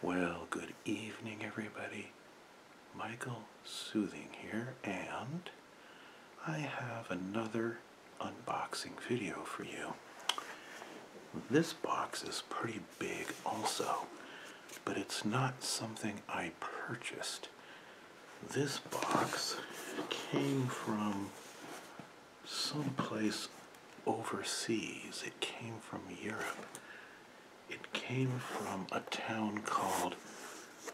Well, good evening, everybody. Michael Soothing here, and I have another unboxing video for you. This box is pretty big, also, but it's not something I purchased. This box came from someplace overseas, it came from Europe. It came from a town called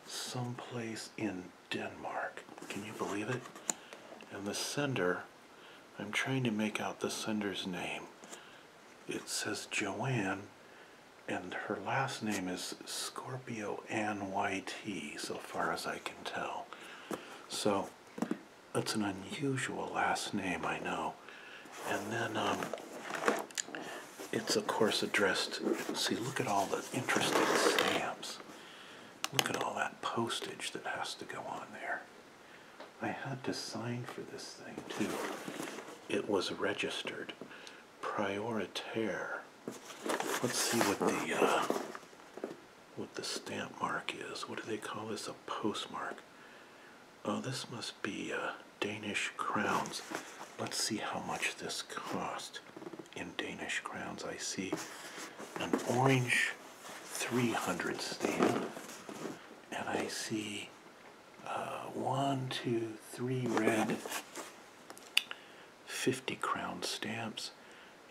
someplace in Denmark. Can you believe it? And the sender, I'm trying to make out the sender's name. It says Joanne, and her last name is Scorpio N Y T. so far as I can tell. So that's an unusual last name, I know. And then um, it's, of course, addressed. See, look at all the interesting stamps. Look at all that postage that has to go on there. I had to sign for this thing, too. It was registered. Prioritaire. Let's see what the uh, what the stamp mark is. What do they call this? A postmark. Oh, this must be uh, Danish crowns. Let's see how much this cost in Danish crowns. I see an orange 300 stamp, and I see uh, one, two, three red 50 crown stamps,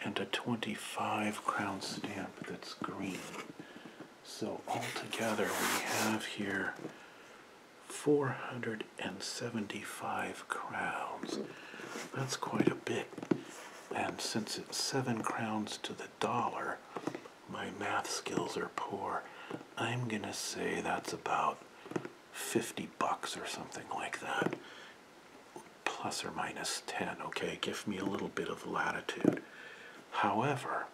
and a 25 crown stamp that's green. So altogether we have here 475 crowns. That's quite a bit. And since it's 7 crowns to the dollar, my math skills are poor. I'm going to say that's about 50 bucks or something like that. Plus or minus 10, okay? Give me a little bit of latitude. However,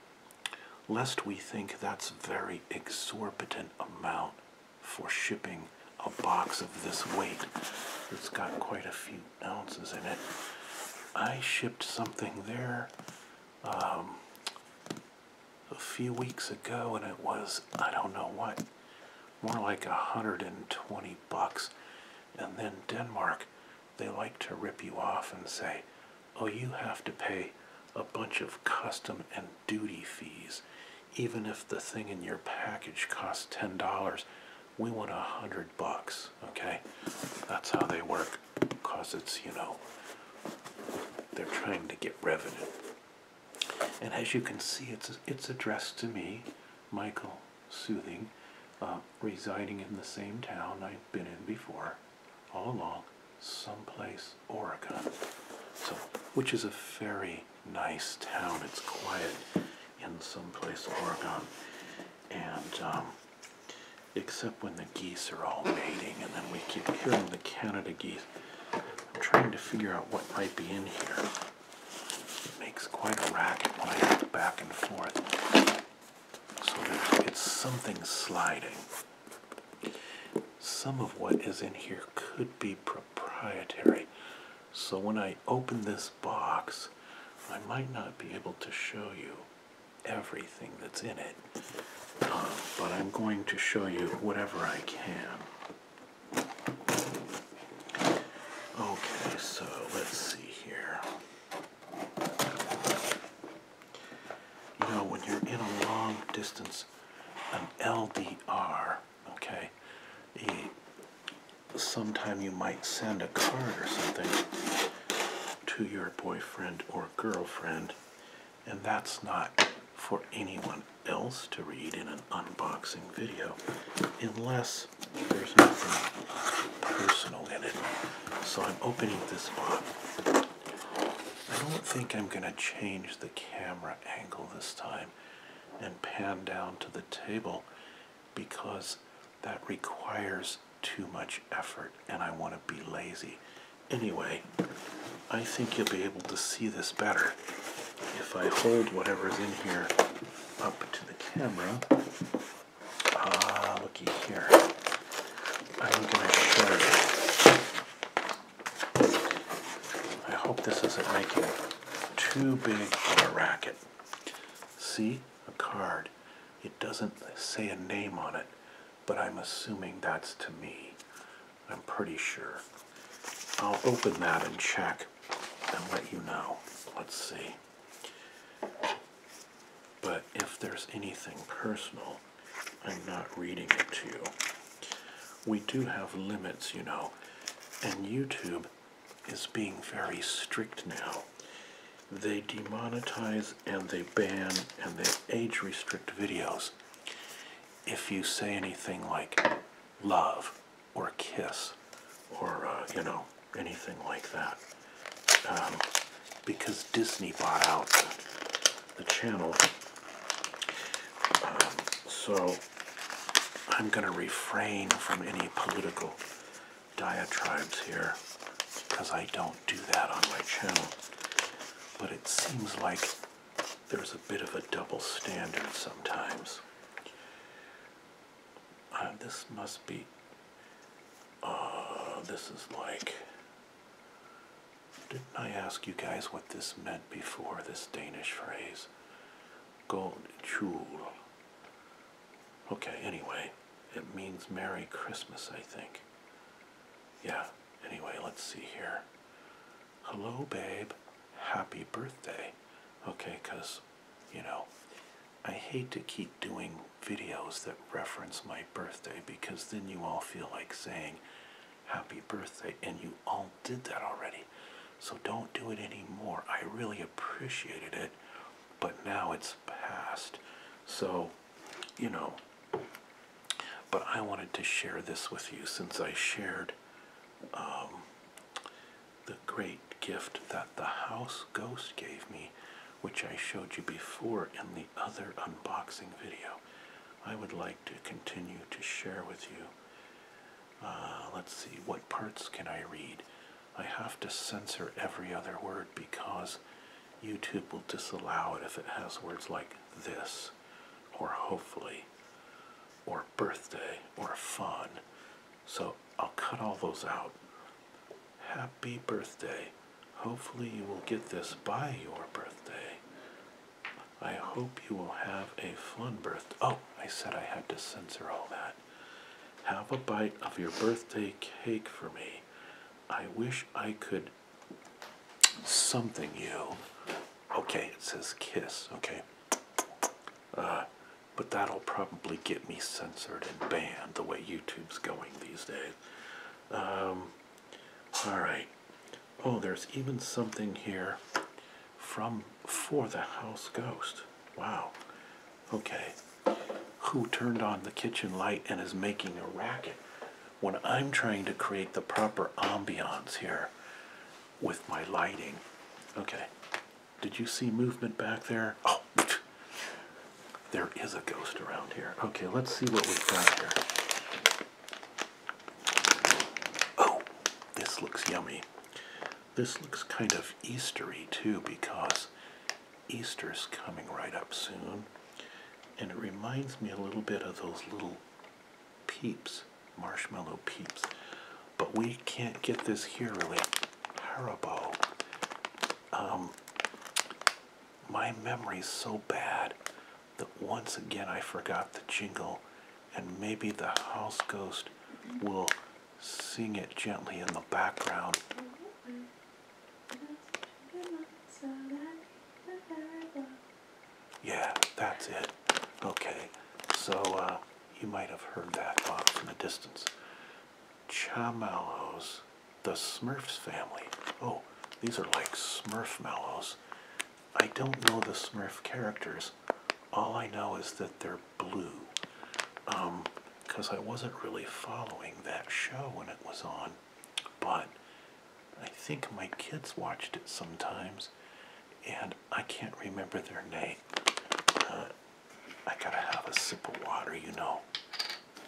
lest we think that's a very exorbitant amount for shipping a box of this weight that's got quite a few ounces in it. I shipped something there um, a few weeks ago and it was, I don't know what, more like a 120 bucks. And then Denmark they like to rip you off and say, oh, you have to pay a bunch of custom and duty fees. Even if the thing in your package costs $10, we want a hundred bucks, okay? That's how they work, cause it's, you know, they're trying to get revenue. And as you can see, it's, it's addressed to me, Michael Soothing, um, residing in the same town I've been in before, all along, someplace Oregon. So, which is a very nice town. It's quiet in someplace Oregon, and um, except when the geese are all mating, and then we keep hearing the Canada geese. I'm trying to figure out what might be in here. It makes quite a racket when I go back and forth. So it's something sliding. Some of what is in here could be proprietary. So when I open this box, I might not be able to show you everything that's in it. Um, but I'm going to show you whatever I can. Okay, so let's see here. You know, when you're in a long distance, an LDR, okay, sometime you might send a card or something to your boyfriend or girlfriend, and that's not for anyone else to read in an unboxing video unless there's nothing personal in it. So I'm opening this up. I don't think I'm going to change the camera angle this time and pan down to the table because that requires too much effort and I want to be lazy. Anyway, I think you'll be able to see this better if I hold whatever's in here up to the camera. Ah, looky here. I'm going to show you. I hope this isn't making too big of a racket. See? A card. It doesn't say a name on it, but I'm assuming that's to me. I'm pretty sure. I'll open that and check and let you know. Let's see. But if there's anything personal, I'm not reading it to you. We do have limits, you know, and YouTube is being very strict now. They demonetize and they ban and they age restrict videos if you say anything like love or kiss or, uh, you know, anything like that um, because Disney bought out the, channel. Um, so I'm going to refrain from any political diatribes here because I don't do that on my channel. But it seems like there's a bit of a double standard sometimes. Uh, this must be uh, this is like. Didn't I ask you guys what this meant before? This Danish phrase. Gold Chul. Okay, anyway, it means Merry Christmas, I think. Yeah, anyway, let's see here. Hello, babe. Happy birthday. Okay, because, you know, I hate to keep doing videos that reference my birthday because then you all feel like saying happy birthday and you all did that already. So don't do it anymore. I really appreciated it, but now it's past. So, you know, but I wanted to share this with you since I shared um, the great gift that the house ghost gave me, which I showed you before in the other unboxing video. I would like to continue to share with you. Uh, let's see, what parts can I read? I have to censor every other word because YouTube will disallow it if it has words like this, or hopefully, or birthday, or fun. So I'll cut all those out. Happy birthday. Hopefully, you will get this by your birthday. I hope you will have a fun birthday. Oh, I said I had to censor all that. Have a bite of your birthday cake for me. I wish I could something you. Okay, it says kiss. Okay. Uh, but that'll probably get me censored and banned the way YouTube's going these days. Um, all right. Oh, there's even something here from For the House Ghost. Wow. Okay. Who turned on the kitchen light and is making a racket when I'm trying to create the proper ambiance here with my lighting. Okay. Did you see movement back there? Oh, there is a ghost around here. Okay, let's see what we've got here. Oh, this looks yummy. This looks kind of Eastery too because Easter is coming right up soon. And it reminds me a little bit of those little peeps, marshmallow peeps. But we can't get this here really. Haribo um, my memory's so bad that once again I forgot the jingle, and maybe the house ghost will sing it gently in the background. Yeah, that's it. Okay, so uh, you might have heard that uh, from a distance. Chamallows, the Smurfs family. Oh, these are like Smurf mallows. I don't know the Smurf characters. All I know is that they're blue. Because um, I wasn't really following that show when it was on. But I think my kids watched it sometimes. And I can't remember their name. Uh, I gotta have a sip of water, you know.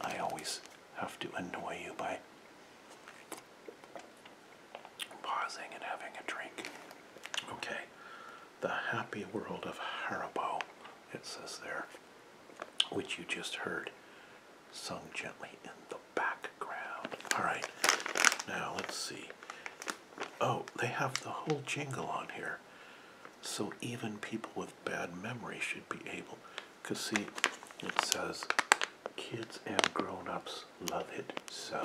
I always have to annoy you by pausing and having a drink. Okay, the happy world of Haribo, it says there, which you just heard sung gently in the background. Alright, now let's see. Oh, they have the whole jingle on here. So even people with bad memory should be able, because see, it says kids and grown-ups love it so.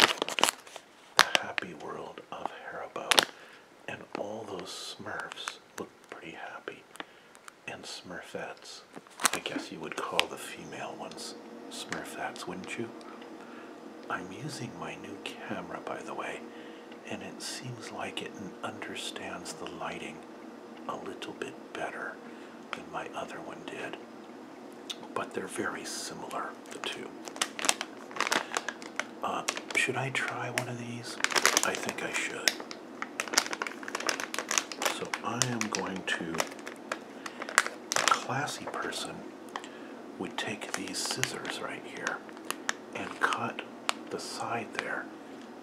The happy world of Haribo. And all those Smurfs look pretty happy. And Smurfettes. I guess you would call the female ones Smurfettes, wouldn't you? I'm using my new camera, by the way, and it seems like it understands the lighting a little bit better than my other one did. But they're very similar, the two. Uh, should I try one of these? I think I should. So I am going to, a classy person would take these scissors right here and cut the side there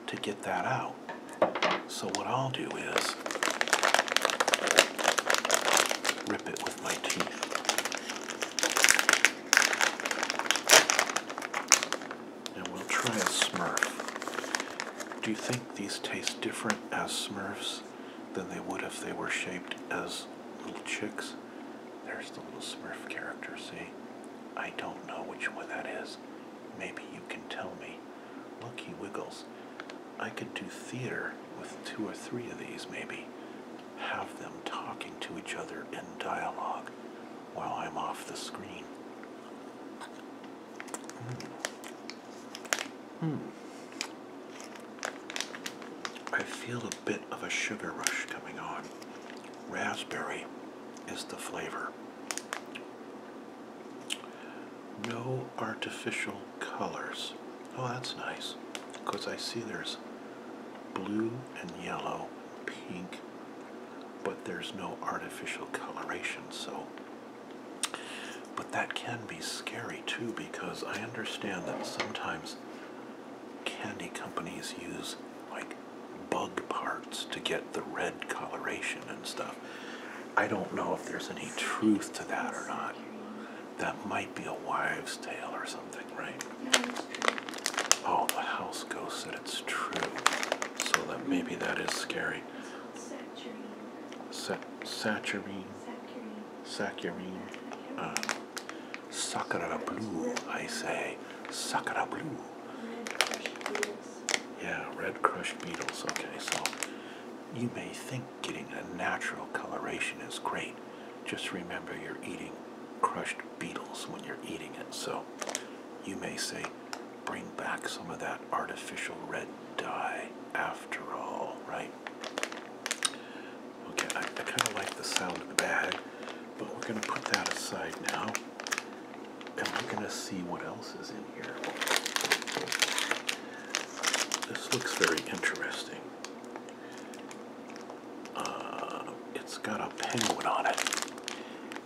to get that out. So what I'll do is rip it with my teeth. And we'll try a Smurf. Do you think these taste different as Smurfs than they would if they were shaped as little chicks? There's the little Smurf character, see? I don't know which one that is. Maybe you can tell me. Look, he wiggles. I could do theater with two or three of these, maybe. Have them talking to each other in dialogue while I'm off the screen. Hmm. hmm. I feel a bit of a sugar rush coming on raspberry is the flavor. No artificial colors. Oh, that's nice. Because I see there's blue and yellow, pink, but there's no artificial coloration, so. But that can be scary too because I understand that sometimes candy companies use like bug parts to get the red coloration and stuff. I don't know if there's any truth to that or not. That might be a wives' tale or something, right? Oh, the house ghost said it's true. So that maybe that is scary. Sa saturine. Saccharine. Uh, Sakura blue, I say. Sakura blue. Yeah, red crushed beetles. Okay, so you may think getting a natural coloration is great. Just remember you're eating crushed beetles when you're eating it. So you may say, bring back some of that artificial red dye after all, right? Okay, I kind of like the sound of the bag. But we're going to put that aside now and we're going to see what else is in here. This looks very interesting. Uh, it's got a penguin on it,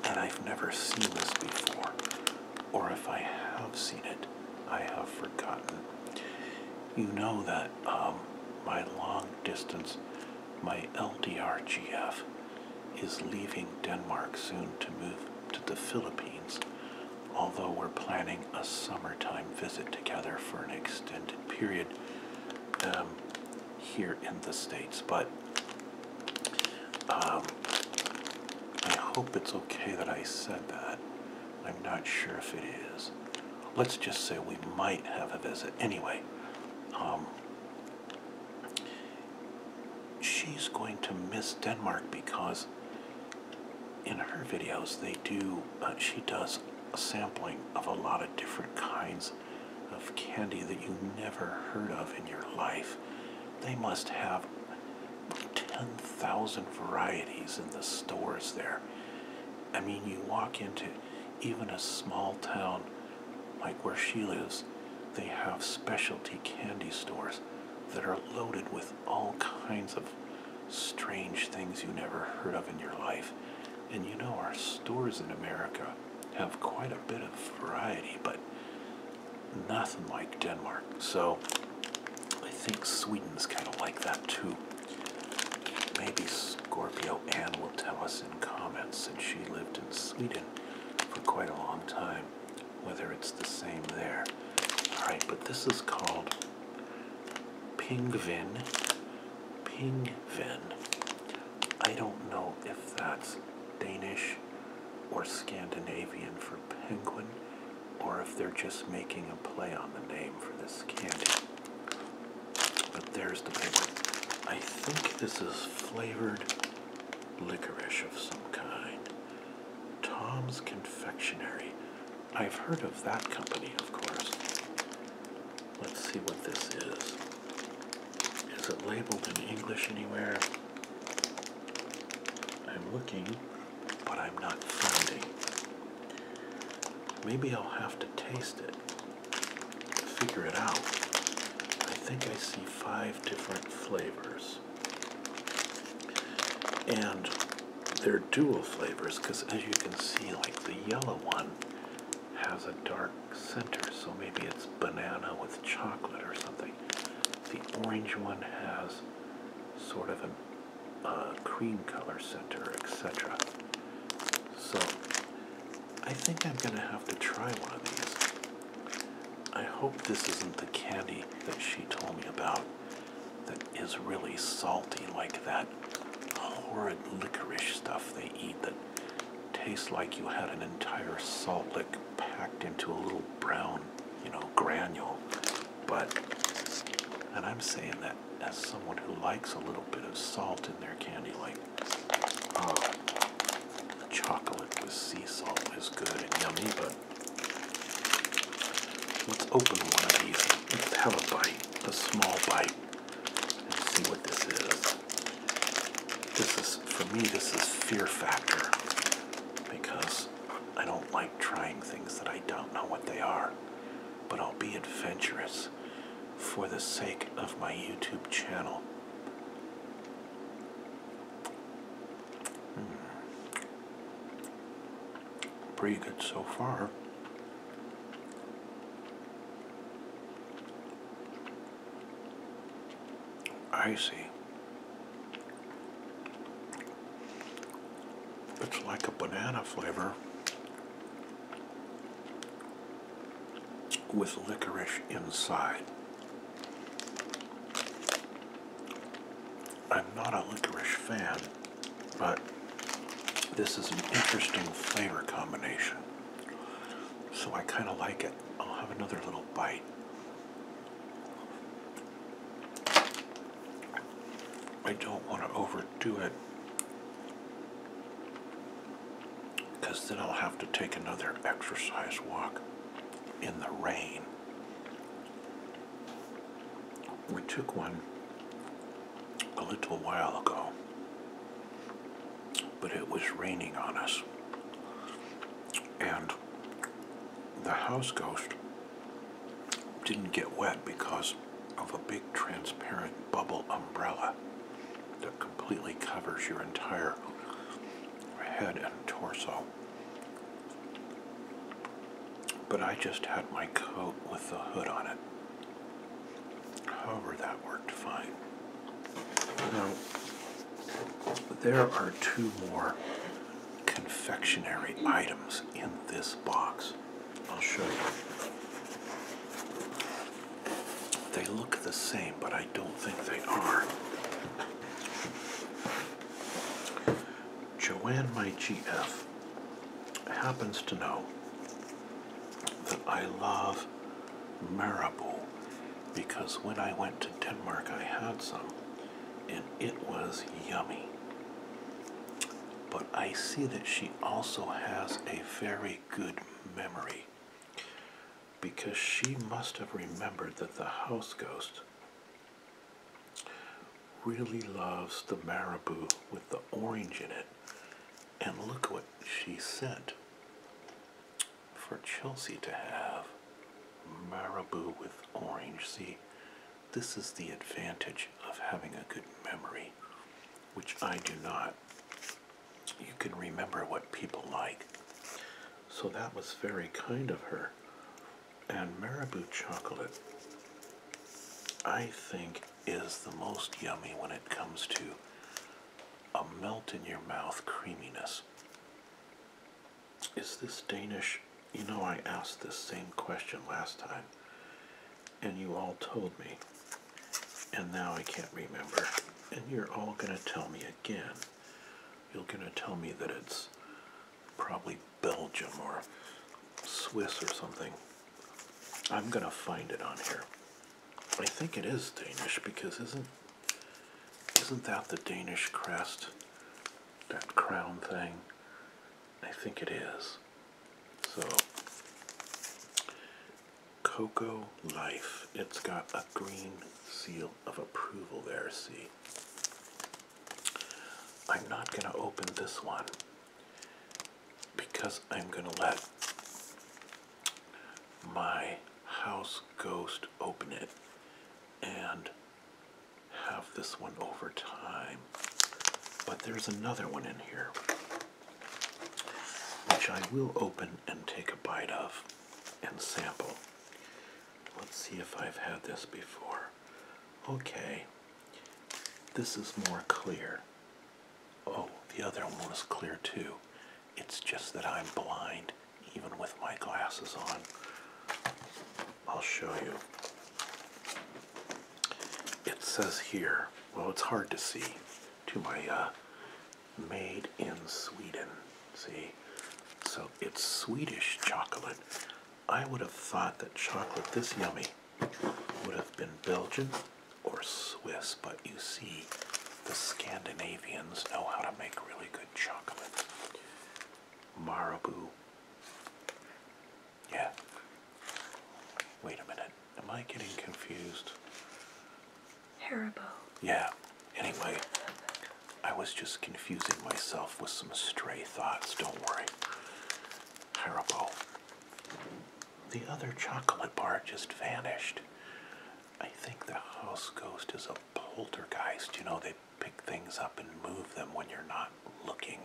and I've never seen this before. Or if I have seen it, I have forgotten. You know that um, my long distance my LDRGF is leaving Denmark soon to move to the Philippines, although we're planning a summertime visit together for an extended period um, here in the States. But um, I hope it's okay that I said that. I'm not sure if it is. Let's just say we might have a visit. Anyway, um, she's going to miss Denmark because in her videos they do uh, she does a sampling of a lot of different kinds of candy that you never heard of in your life. They must have 10,000 varieties in the stores there. I mean, you walk into even a small town like where she lives, they have specialty candy stores that are loaded with all kinds of strange things you never heard of in your life. And you know, our stores in America have quite a bit of variety, but nothing like Denmark. So I think Sweden's kind of like that too. Maybe Scorpio Ann will tell us in comments that she lived in Sweden for quite a long time, whether it's the same there. Alright, but this is called Pingvin. Pingvin. I don't know if that's Danish or Scandinavian for penguin, or if they're just making a play on the name for this candy. But there's the paper. I think this is flavored licorice of some kind. Tom's Confectionery. I've heard of that company, of course. Let's see what this is. Is it labeled in English anywhere? I'm looking, but I'm not finding. Maybe I'll have to taste it figure it out, I think I see five different flavors. And they're dual flavors because as you can see, like the yellow one has a dark center, so maybe it's banana with chocolate or something. The orange one has sort of a uh, cream color center, etc. So I think I'm going to have to try one of these. I hope this isn't the candy that she told me about that is really salty, like that horrid licorice stuff they eat that tastes like you had an entire salt lick packed into a little brown, you know, granule. But, and I'm saying that as someone who likes a little bit of salt in their candy, like um, chocolate with sea salt is good and yummy, but let's open one of these. Let's have a bite, a small bite, and see what this is. This is, for me, this is fear factor because I don't like trying things that I don't know what they are but I'll be adventurous for the sake of my YouTube channel. Hmm. Pretty good so far. I see. It's like a banana flavor, with licorice inside. I'm not a licorice fan, but this is an interesting flavor combination. So I kind of like it. I'll have another little bite. I don't want to overdo it because then I'll have to take another exercise walk in the rain. We took one a little while ago, but it was raining on us. And the house ghost didn't get wet because of a big transparent bubble umbrella that completely covers your entire head and torso. But I just had my coat with the hood on it. However, that worked fine. Now, there are two more confectionery items in this box. I'll show you. They look the same, but I don't think they are. Joanne, my GF, happens to know that I love Marabou because when I went to Denmark, I had some and it was yummy. But I see that she also has a very good memory because she must have remembered that the house ghost really loves the marabou with the orange in it. And look what she sent for Chelsea to have marabou with orange. See, this is the advantage of having a good memory, which I do not you can remember what people like. So that was very kind of her. And Marabou chocolate, I think, is the most yummy when it comes to a melt in your mouth creaminess. Is this Danish? You know, I asked this same question last time and you all told me, and now I can't remember. And you're all going to tell me again. You're going to tell me that it's probably Belgium or Swiss or something. I'm going to find it on here. I think it is Danish because isn't isn't that the Danish crest? That crown thing? I think it is. So, Coco Life. It's got a green seal of approval there, see. I'm not going to open this one because I'm going to let my house ghost open it and have this one over time. But there's another one in here which I will open and take a bite of and sample. Let's see if I've had this before. Okay, this is more clear. Oh, the other one was clear too. It's just that I'm blind, even with my glasses on. I'll show you it says here, well, it's hard to see, to my uh, made in Sweden. See, so it's Swedish chocolate. I would have thought that chocolate this yummy would have been Belgian or Swiss, but you see, the Scandinavians know how to make really good chocolate. Marabou yeah. Wait a minute. Am I getting confused? Haribo. Yeah. Anyway, I was just confusing myself with some stray thoughts. Don't worry. Haribo. The other chocolate bar just vanished. I think the house ghost is a poltergeist. You know, they pick things up and move them when you're not looking,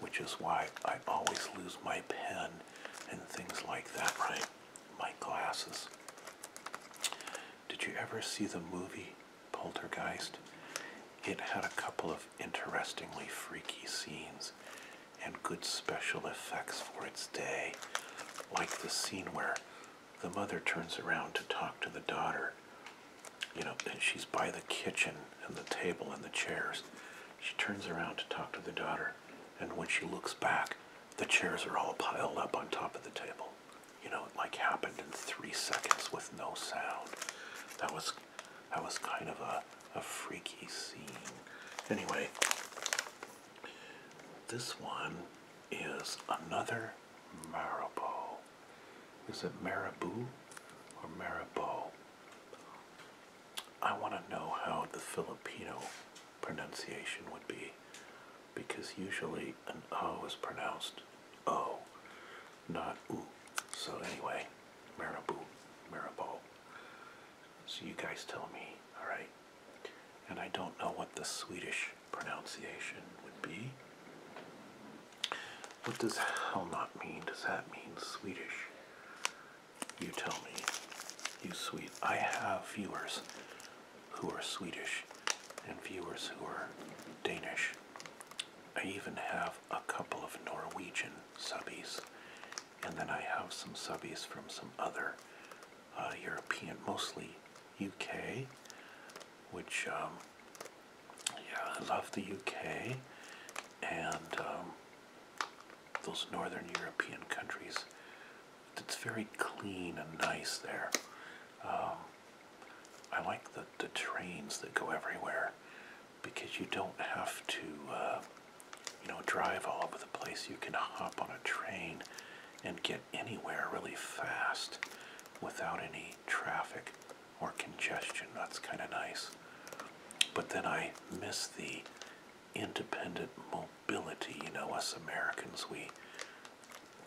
which is why I always lose my pen and things like that, right? My glasses. Did you ever see the movie Poltergeist? It had a couple of interestingly freaky scenes and good special effects for its day, like the scene where the mother turns around to talk to the daughter. You know, and she's by the kitchen and the table and the chairs. She turns around to talk to the daughter, and when she looks back, the chairs are all piled up on top of the table. You know, it like happened in three seconds with no sound. That was that was kind of a, a freaky scene. Anyway, this one is another Marabou. Is it Marabou or Marabou? I want to know how the Filipino pronunciation would be because usually an O is pronounced O, not oo. So anyway, marabou, marabou. So you guys tell me, alright? And I don't know what the Swedish pronunciation would be. What does hell not mean? Does that mean Swedish? You tell me, you sweet. I have viewers who are Swedish and viewers who are Danish. I even have a couple of Norwegian subbies, and then I have some subbies from some other uh, European, mostly UK, which, um, yeah, I love the UK, and um, those northern European countries. It's very clean and nice there. Um, I like the, the trains that go everywhere because you don't have to, uh, you know, drive all over the place. You can hop on a train and get anywhere really fast without any traffic or congestion. That's kind of nice. But then I miss the independent mobility. You know, us Americans, we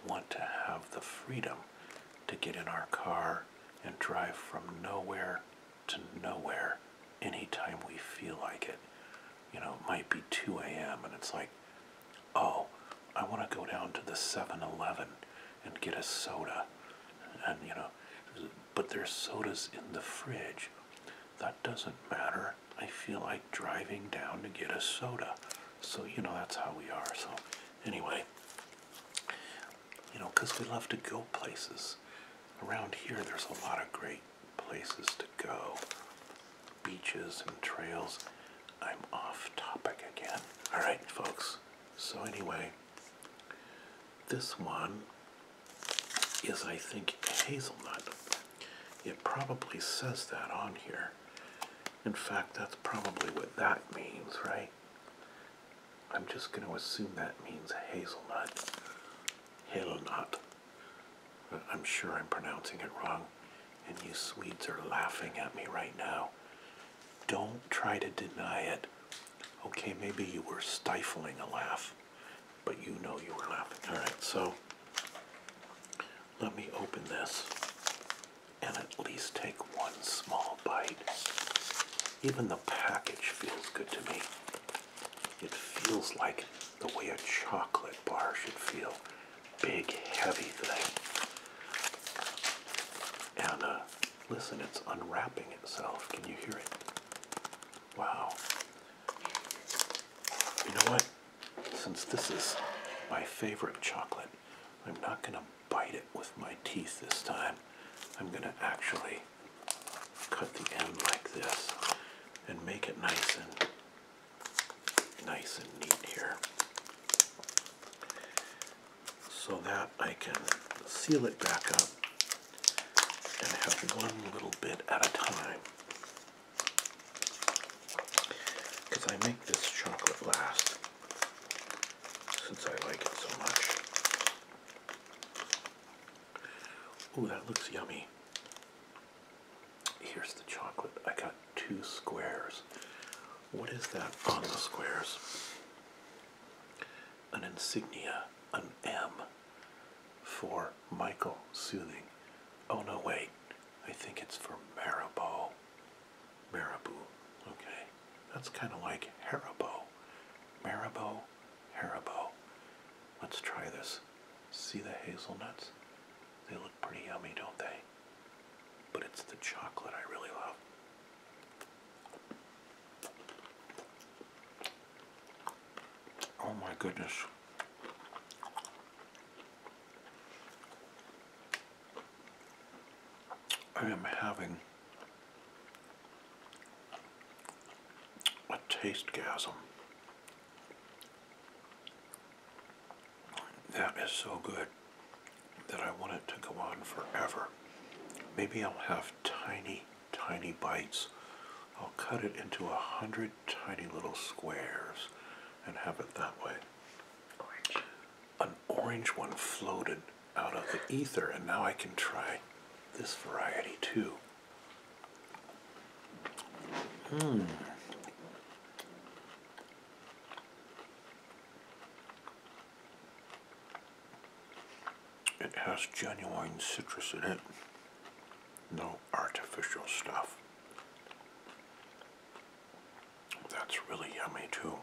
want to have the freedom to get in our car and drive from nowhere to nowhere anytime we feel like it. You know, it might be 2 a.m. and it's like, oh, I want to go down to the 7 Eleven and get a soda. And, you know, but there's sodas in the fridge. That doesn't matter. I feel like driving down to get a soda. So, you know, that's how we are. So, anyway, you know, because we love to go places. Around here, there's a lot of great places to go beaches and trails. I'm off topic again. All right, folks. So, anyway, this one is, I think, hazelnut. It probably says that on here. In fact, that's probably what that means, right? I'm just going to assume that means hazelnut. Hazelnut. Uh, I'm sure I'm pronouncing it wrong, and you Swedes are laughing at me right now. Don't try to deny it. Okay, maybe you were stifling a laugh, but you know you were laughing. All right, so let me open this and at least take one small bite. Even the package feels good to me. It feels like the way a chocolate bar should feel. Big, heavy thing. And uh, Listen, it's unwrapping itself. Can you hear it? Wow. You know what? Since this is my favorite chocolate, I'm not going to bite it with my teeth this time. I'm going to actually cut the end like this and make it nice and nice and neat here so that I can seal it back up and have one little bit at a time. Because I make this chocolate last since I like it so much. Oh, that looks yummy. Here's the chocolate. I got two squares. What is that on the squares? an insignia, an M for Michael Soothing. Oh no, wait, I think it's for Maribo. Maribo. okay. That's kind of like Haribo. Maribo. Haribo. Let's try this. See the hazelnuts? They look pretty yummy, don't they? But it's the chocolate I really love. Oh my goodness. I am having a taste gasm. That is so good that I want it to go on forever. Maybe I'll have tiny tiny bites. I'll cut it into a hundred tiny little squares and have it that way. An orange one floated out of the ether, and now I can try this variety too. Hmm. It has genuine citrus in it. No artificial stuff. That's really yummy too.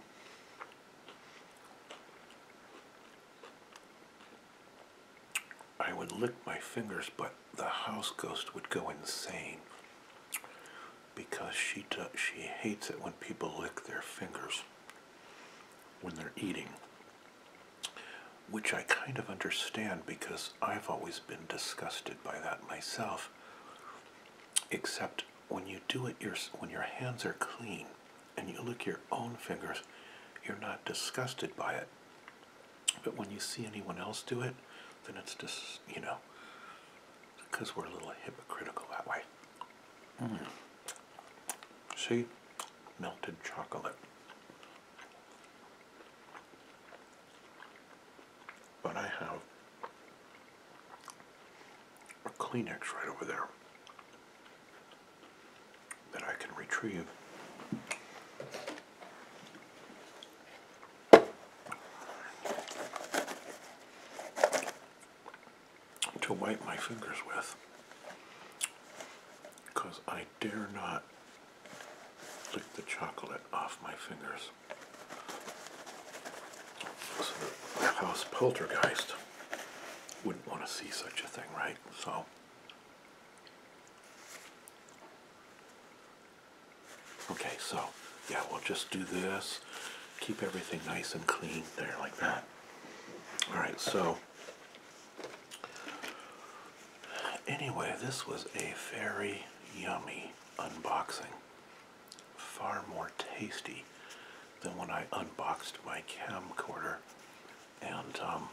I would lick my fingers, but the house ghost would go insane because she, she hates it when people lick their fingers when they're eating, which I kind of understand because I've always been disgusted by that myself. Except when you do it, your, when your hands are clean and you lick your own fingers, you're not disgusted by it. But when you see anyone else do it, then it's just, you know, because we're a little hypocritical that way. Mm. See? Melted chocolate. But I have a Kleenex right over there that I can retrieve to wipe my fingers with because I dare not lick the chocolate off my fingers. So the house poltergeist wouldn't want to see such a thing, right? So. Okay, so yeah, we'll just do this. Keep everything nice and clean there like that. All right, so Anyway, this was a very yummy unboxing. Far more tasty than when I unboxed my camcorder. And, um,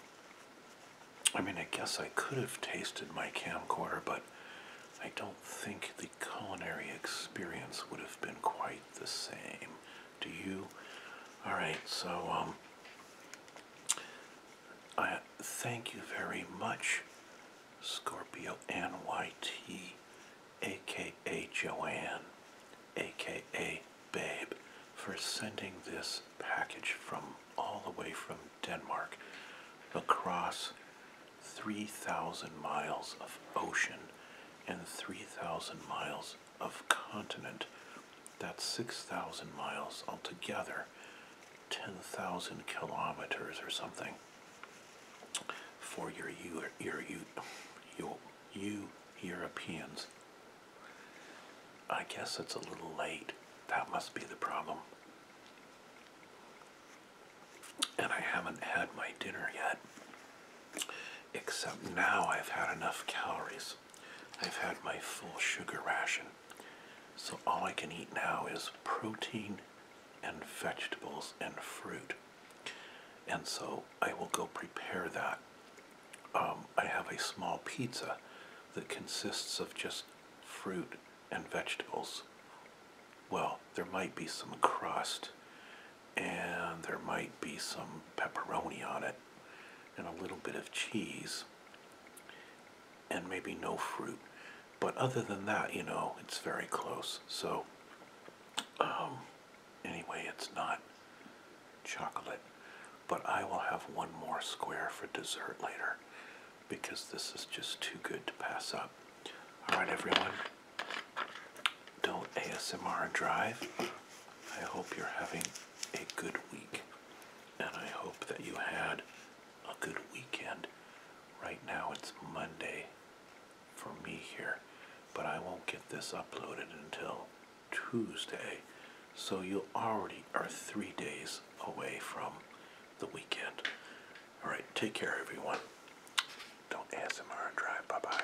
I mean, I guess I could have tasted my camcorder, but I don't think the culinary experience would have been quite the same to you. All right, so um, I thank you very much, Scorpio NYT, Joanne, aka Babe, for sending this package from all the way from Denmark across 3,000 miles of ocean and 3,000 miles of continent. That's 6,000 miles altogether, 10,000 kilometers or something for your, your, your, your, you Europeans. I guess it's a little late. That must be the problem. And I haven't had my dinner yet. Except now I've had enough calories. I've had my full sugar ration. So all I can eat now is protein and vegetables and fruit. And so I will go prepare that. Um, I have a small pizza that consists of just fruit and vegetables. Well, there might be some crust and there might be some pepperoni on it and a little bit of cheese and maybe no fruit but other than that you know it's very close so um, anyway it's not chocolate but I will have one more square for dessert later because this is just too good to pass up all right everyone don't ASMR drive. I hope you're having a good week, and I hope that you had a good weekend. Right now it's Monday for me here, but I won't get this uploaded until Tuesday, so you already are three days away from the weekend. Alright, take care everyone. Don't ASMR drive. Bye bye.